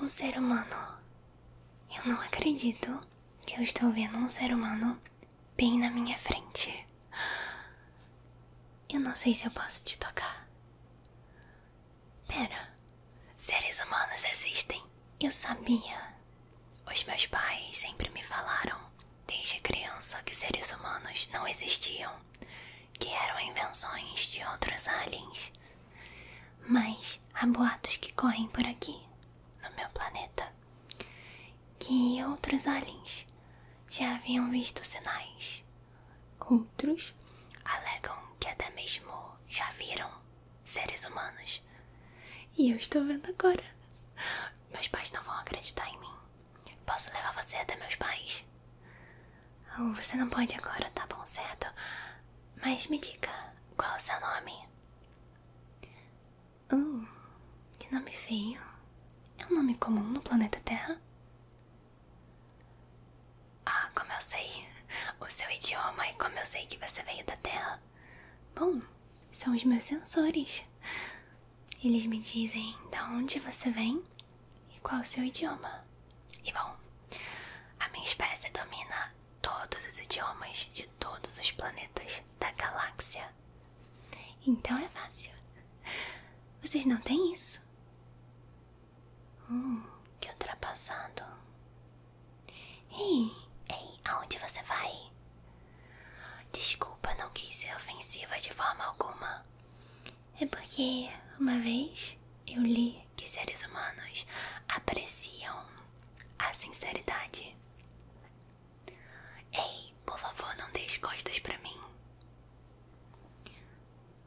Um ser humano. Eu não acredito que eu estou vendo um ser humano bem na minha frente. Eu não sei se eu posso te tocar. Pera, seres humanos existem. Eu sabia. Os meus pais sempre me falaram, desde criança, que seres humanos não existiam que eram invenções de outros aliens. Mas há boatos que correm por aqui, no meu planeta, que outros aliens já haviam visto sinais. Outros alegam que até mesmo já viram seres humanos. E eu estou vendo agora. Meus pais não vão acreditar em mim. Posso levar você até meus pais? Oh, você não pode agora, tá bom, certo? Mas me diga, qual é o seu nome? Uh, que nome feio. É um nome comum no planeta Terra? Ah, como eu sei o seu idioma e como eu sei que você veio da Terra. Bom, são os meus sensores. Eles me dizem de onde você vem e qual o seu idioma? E bom, a minha espécie domina todos os idiomas de todos os planetas da galáxia. Então é fácil. Vocês não têm isso? Hum, que ultrapassado. Ei, ei, aonde você vai? Desculpa, não quis ser ofensiva de forma alguma. É porque uma vez eu li que seres humanos apreciam a sinceridade. Ei, por favor, não deixe as costas pra mim.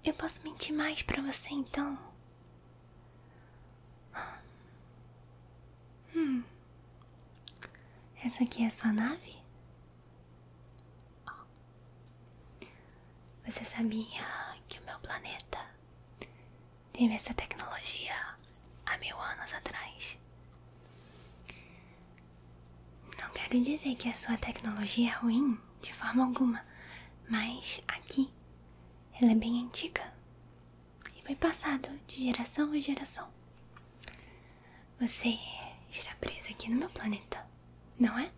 Eu posso mentir mais pra você então? Hum. Essa aqui é a sua nave? Você sabia que o meu planeta teve essa tecnologia há mil anos atrás? Não quero dizer que a sua tecnologia é ruim de forma alguma, mas aqui ela é bem antiga e foi passado de geração em geração. Você está presa aqui no meu planeta, não é?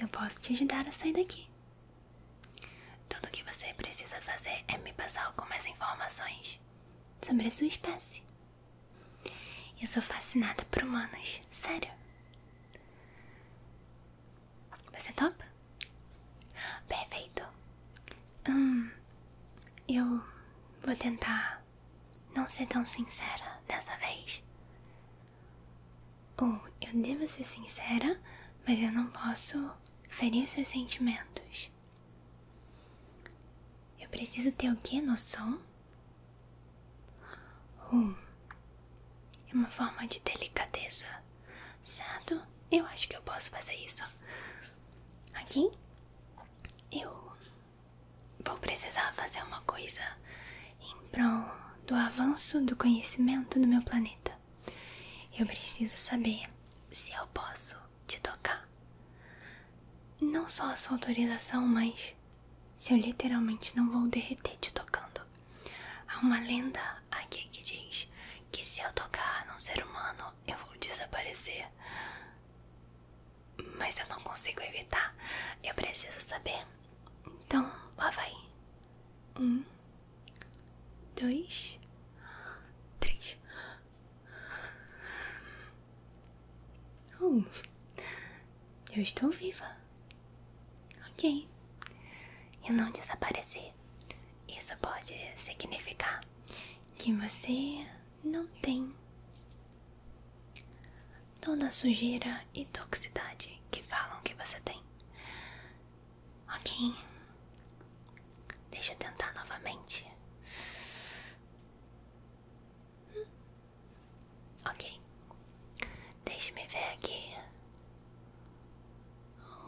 Eu posso te ajudar a sair daqui. Tudo o que você precisa fazer é me passar algumas informações sobre a sua espécie. Eu sou fascinada por humanos, sério. Você topa? Perfeito. Hum, eu vou tentar não ser tão sincera dessa vez. Ou oh, eu devo ser sincera, mas eu não posso ferir os seus sentimentos. Eu preciso ter o quê? Noção? Ou hum, é uma forma de delicadeza, certo? Eu acho que eu posso fazer isso. Aqui eu Vou precisar fazer uma coisa em prol do avanço do conhecimento do meu planeta. Eu preciso saber se eu posso te tocar. Não só a sua autorização, mas se eu literalmente não vou derreter te tocando. Há uma lenda aqui que diz que se eu tocar num ser humano, eu vou desaparecer. Mas eu não consigo evitar. Eu preciso saber. Então, lá vai. Um, dois, três. Oh, eu estou viva. Ok. E não desaparecer. Isso pode significar que você não tem toda a sujeira e toxicidade que falam que você tem. Ok, deixa eu tentar novamente. Ok, deixe-me ver aqui.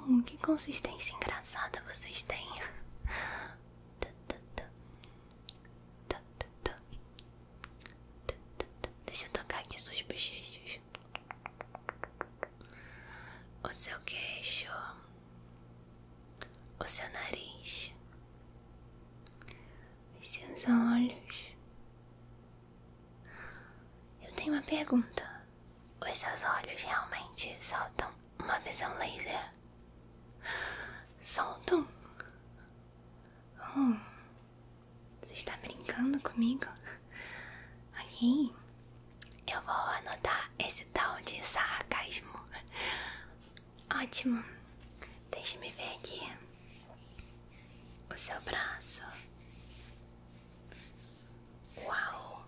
Hum, que consistência engraçada vocês têm. Deixa eu tocar aqui suas bochechas. O seu queixo. O seu nariz. Os seus olhos. Eu tenho uma pergunta. Os seus olhos realmente soltam uma visão laser? Solto. Hum. você está brincando comigo? Aqui, Eu vou anotar esse tal de sarcasmo. Ótimo. Deixe-me ver aqui. O seu braço. Uau!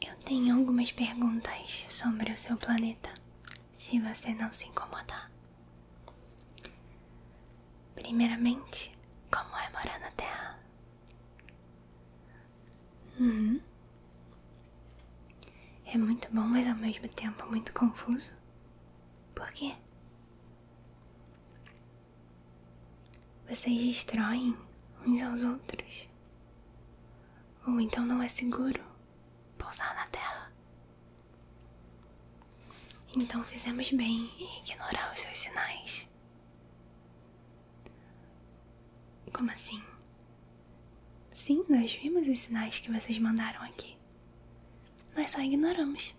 Eu tenho algumas perguntas sobre o seu planeta, se você não se incomodar. Primeiramente, como é morar na Terra? Uhum. É muito bom, mas ao mesmo tempo muito confuso. Por quê? Vocês destroem uns aos outros. Ou então não é seguro pousar na Terra. Então fizemos bem em ignorar os seus sinais. Como assim? Sim, nós vimos os sinais que vocês mandaram aqui. Nós só ignoramos.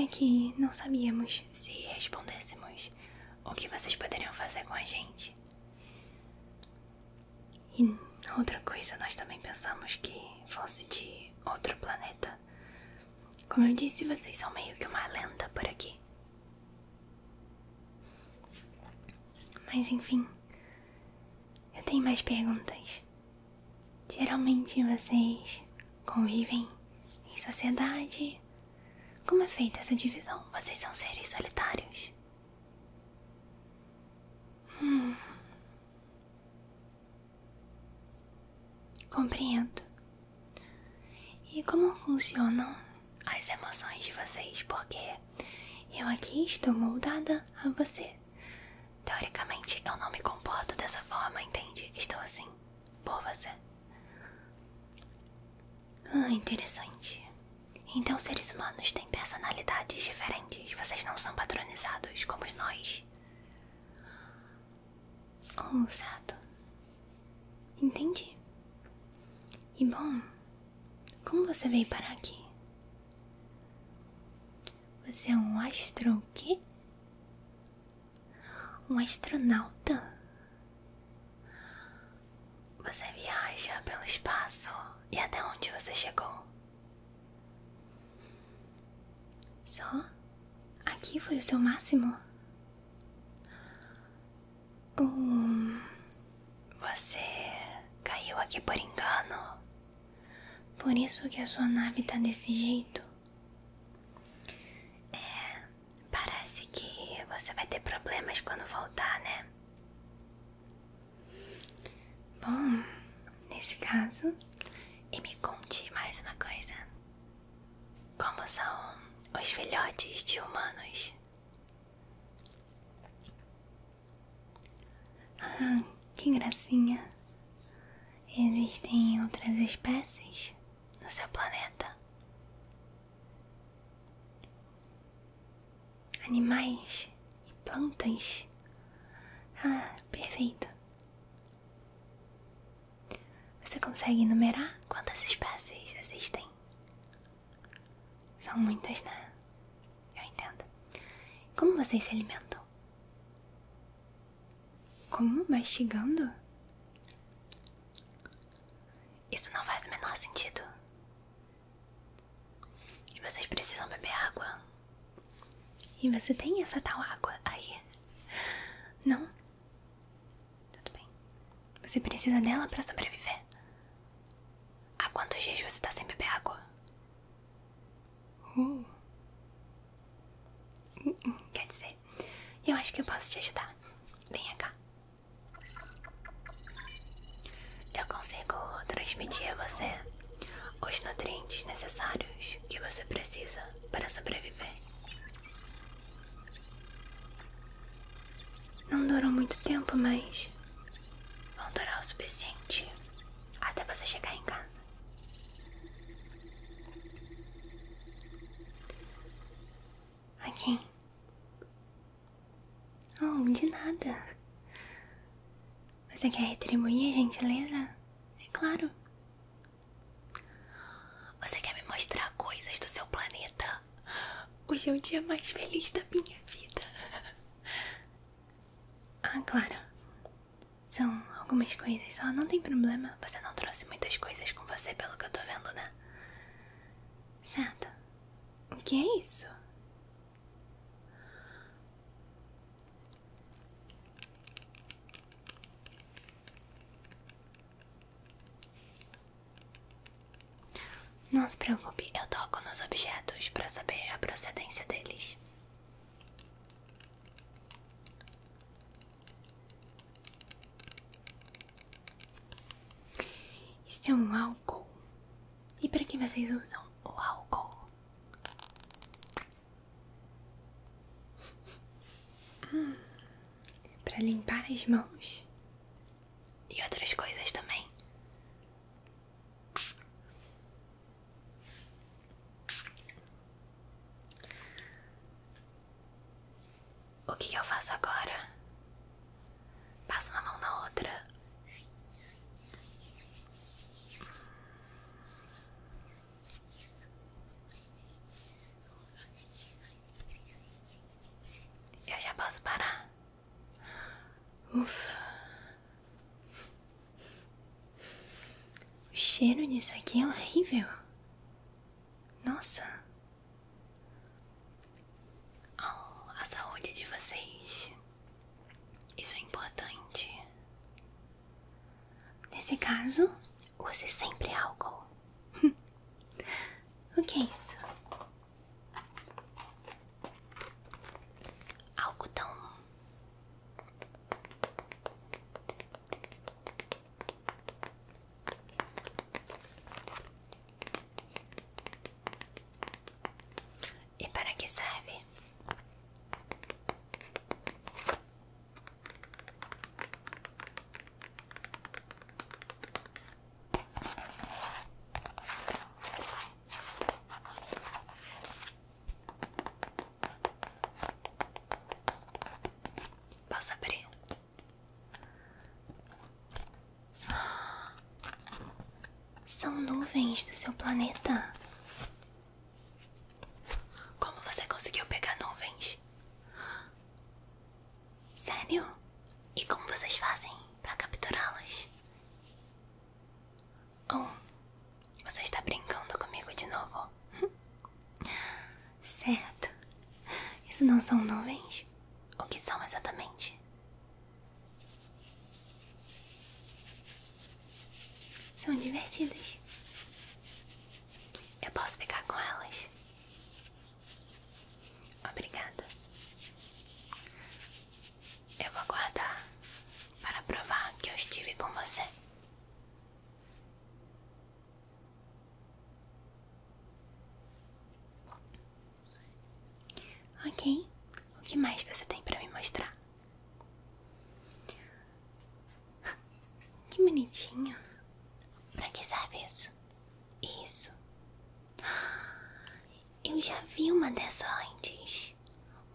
É que não sabíamos se respondêssemos o que vocês poderiam fazer com a gente. E outra coisa, nós também pensamos que fosse de outro planeta. Como eu disse, vocês são meio que uma lenda por aqui. Mas enfim, eu tenho mais perguntas. Geralmente vocês convivem em sociedade como é feita essa divisão? Vocês são seres solitários? Hum. Compreendo. E como funcionam as emoções de vocês? Porque eu aqui estou moldada a você. Teoricamente, eu não me comporto dessa forma, entende? Estou assim, por você. Ah, interessante. Então, seres humanos têm personalidades diferentes. Vocês não são padronizados como nós. Oh, certo. Entendi. E bom, como você veio parar aqui? Você é um astro o quê? Um astronauta? Você viaja pelo espaço e até onde você chegou? Só? Aqui foi o seu máximo? Uh, você caiu aqui por engano. Por isso que a sua nave tá desse jeito. É, Parece que você vai ter problemas quando voltar, né? Bom, nesse caso, e me conte mais uma coisa: como são os filhotes de humanos? Ah, que gracinha! Existem outras espécies no seu planeta? Animais e plantas. Ah, perfeito. Você consegue enumerar quantas espécies existem? São muitas, né? Eu entendo. Como vocês se alimentam? Como? Mastigando? Isso não faz o menor sentido. E vocês precisam beber água. E você tem essa tal água aí? Não? Tudo bem. Você precisa dela para sobreviver. Há quantos dias você está sem beber água? Uh. Quer dizer, eu acho que eu posso te ajudar. Venha cá. Eu consigo transmitir a você os nutrientes necessários que você precisa para sobreviver. Não duram muito tempo, mas vão durar o suficiente até você chegar em casa. A Oh, de nada. Você quer retribuir a gentileza? É claro. Você quer me mostrar coisas do seu planeta? Hoje é o dia mais feliz da minha vida. Ah, claro. São algumas coisas só, não tem problema. Você não trouxe muitas coisas com você, pelo que eu tô vendo, né? Certo? O que é isso? Não se preocupe, eu toco nos objetos para saber a procedência deles. Isso é um álcool. E para que vocês usam o álcool? Hum, para limpar as mãos e outras coisas também. O que, eu faço agora? Passa uma mão na outra. Eu já posso parar. Ufa. O cheiro disso aqui é horrível. Nossa! Oh, a saúde de vocês. Isso é importante. Nesse caso, use sempre álcool. o que é isso? Algodão. E para que serve? Posso abrir? São nuvens do seu planeta. Como você conseguiu pegar nuvens? Sério? E como vocês fazem para capturá-las? Oh, você está brincando comigo de novo? Certo. Isso não são nuvens? O que são exatamente? São divertidas. Eu posso ficar com elas? Obrigada. Eu vou guardar para provar que eu estive com você. Ok, o que mais você tem para me mostrar? Que bonitinho. Para que serve isso? Isso. Eu já vi uma dessa antes.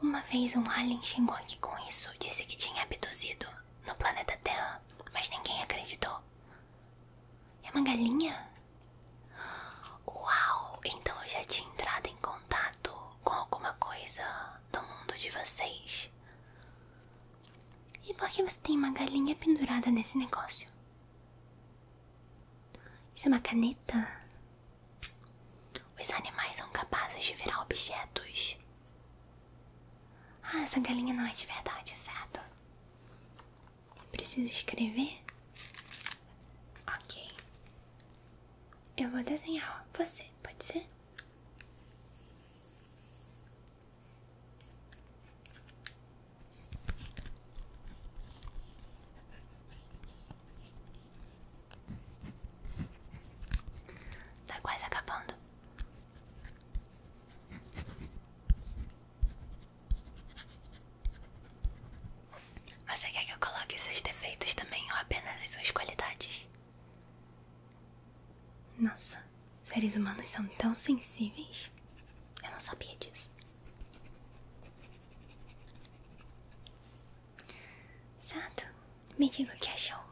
Uma vez um alien chegou aqui com isso, disse que tinha abduzido no planeta Terra mas ninguém acreditou. É uma galinha? Uau! Então eu já tinha entrado em contato com alguma coisa do mundo de vocês. E por que você tem uma galinha pendurada nesse negócio? Isso é uma caneta? Os animais são capazes de virar objetos ah, essa galinha não é de verdade, certo? Preciso escrever? Ok. Eu vou desenhar você, pode ser? Tá quase acabando. Você quer que eu coloque seus defeitos também ou apenas as suas qualidades? Nossa, seres humanos são tão sensíveis. Eu não sabia disso. Sato, me diga o que achou.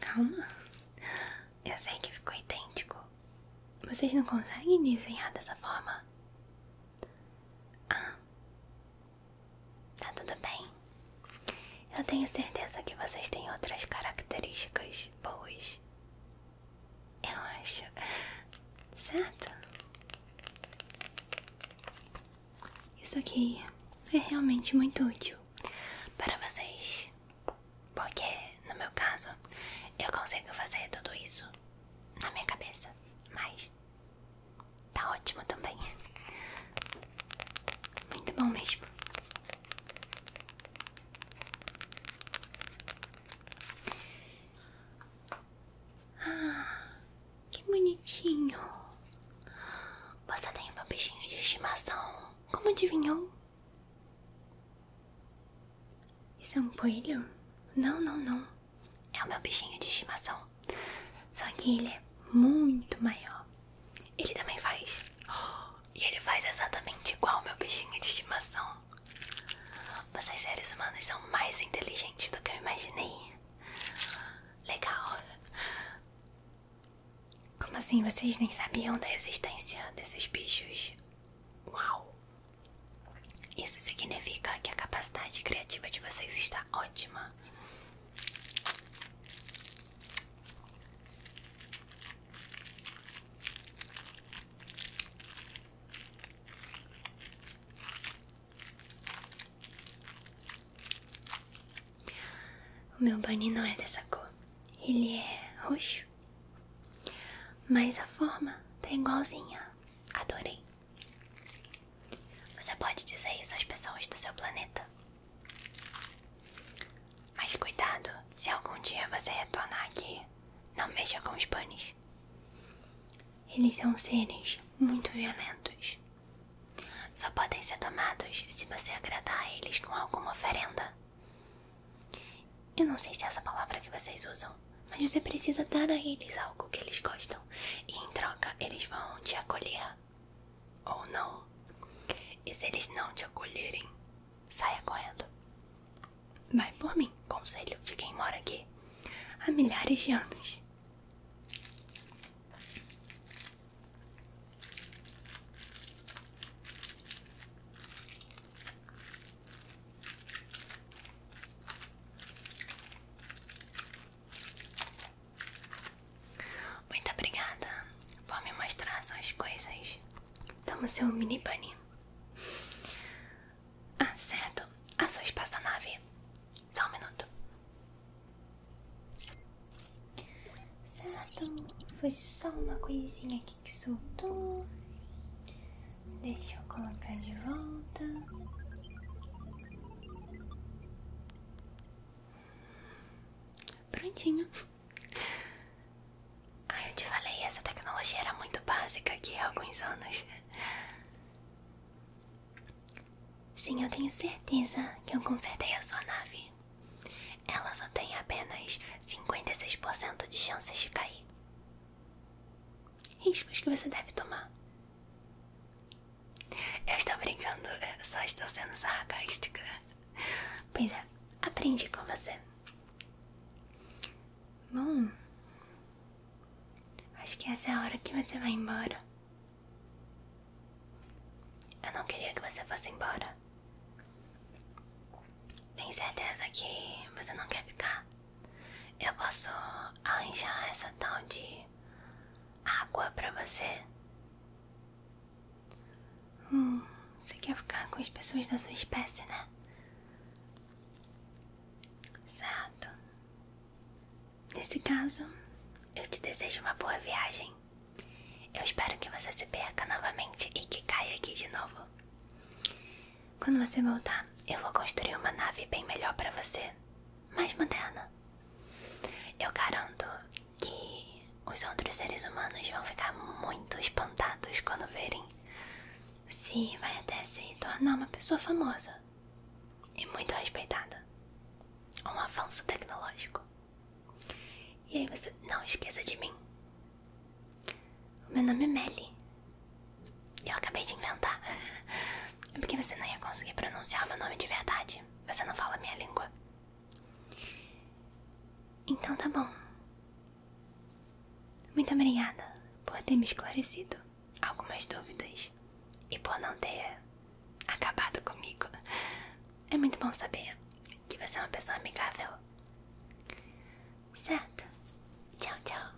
Calma, eu sei que ficou idêntico. Vocês não conseguem desenhar dessa forma? Ah, tá tudo bem. Eu tenho certeza que vocês têm outras características boas. Eu acho, certo? Isso aqui é realmente muito útil para vocês, porque no meu caso eu consigo fazer tudo isso na minha cabeça, mas tá ótimo também. Muito bom mesmo. Ah, que bonitinho. Você tem o meu bichinho de estimação. Como adivinhou? Isso é um coelho? Não, não, não. É o meu bichinho de estimação. Só que ele é muito maior. Ele também faz. e ele faz exatamente igual ao meu bichinho de estimação. Vocês seres humanos são mais inteligentes do que eu imaginei. Legal. Como assim? Vocês nem sabiam da existência desses bichos? Uau! Isso significa que a capacidade criativa de vocês está ótima. O meu bunny não é dessa cor, ele é roxo, mas a forma tá igualzinha. Adorei. Você pode dizer isso às pessoas do seu planeta. Mas cuidado, se algum dia você retornar aqui, não mexa com os bunnies. Eles são seres muito violentos. Só podem ser tomados se você agradar a eles com alguma oferenda. Eu não sei se é essa palavra que vocês usam, mas você precisa dar a eles algo que eles gostam, e em troca eles vão te acolher. Ou não. E se eles não te acolherem, saia correndo. Vai por mim, conselho de quem mora aqui há milhares de anos. Muito obrigada por me mostrar suas coisas. Toma seu mini bunny. Ah, certo. A sua espaçonave. Só um minuto. Certo, foi só uma coisinha aqui que soltou. Deixa eu colocar de volta. Prontinho. Ai, eu te falei, essa tecnologia era muito básica aqui há alguns anos. Sim, eu tenho certeza que eu consertei a sua nave. Ela só tem apenas 56% de chances de cair. Riscos que você deve tomar. Eu estou brincando, eu só estou sendo sarcástica. Pois é, aprendi com você. Bom, acho que essa é a hora que você vai embora. Eu não queria que você fosse embora. Tem certeza que você não quer ficar? Eu posso arranjar essa tal de água pra você? Hum, você quer ficar com as pessoas da sua espécie, né? Certo. Nesse caso, eu te desejo uma boa viagem. Eu espero que você se perca novamente e que caia aqui de novo. Quando você voltar, eu vou construir uma nave bem melhor para você, mais moderna. Eu garanto que os outros seres humanos vão ficar muito espantados quando verem. se vai até se tornar uma pessoa famosa e muito respeitada. Um avanço tecnológico. E aí você não esqueça de mim. Meu nome é Melly. Eu acabei de inventar. É porque você não ia conseguir pronunciar meu nome de verdade. Você não fala minha língua. Então tá bom. Muito obrigada por ter me esclarecido algumas dúvidas e por não ter acabado comigo. É muito bom saber que você é uma pessoa amigável. Certo? Tchau, tchau.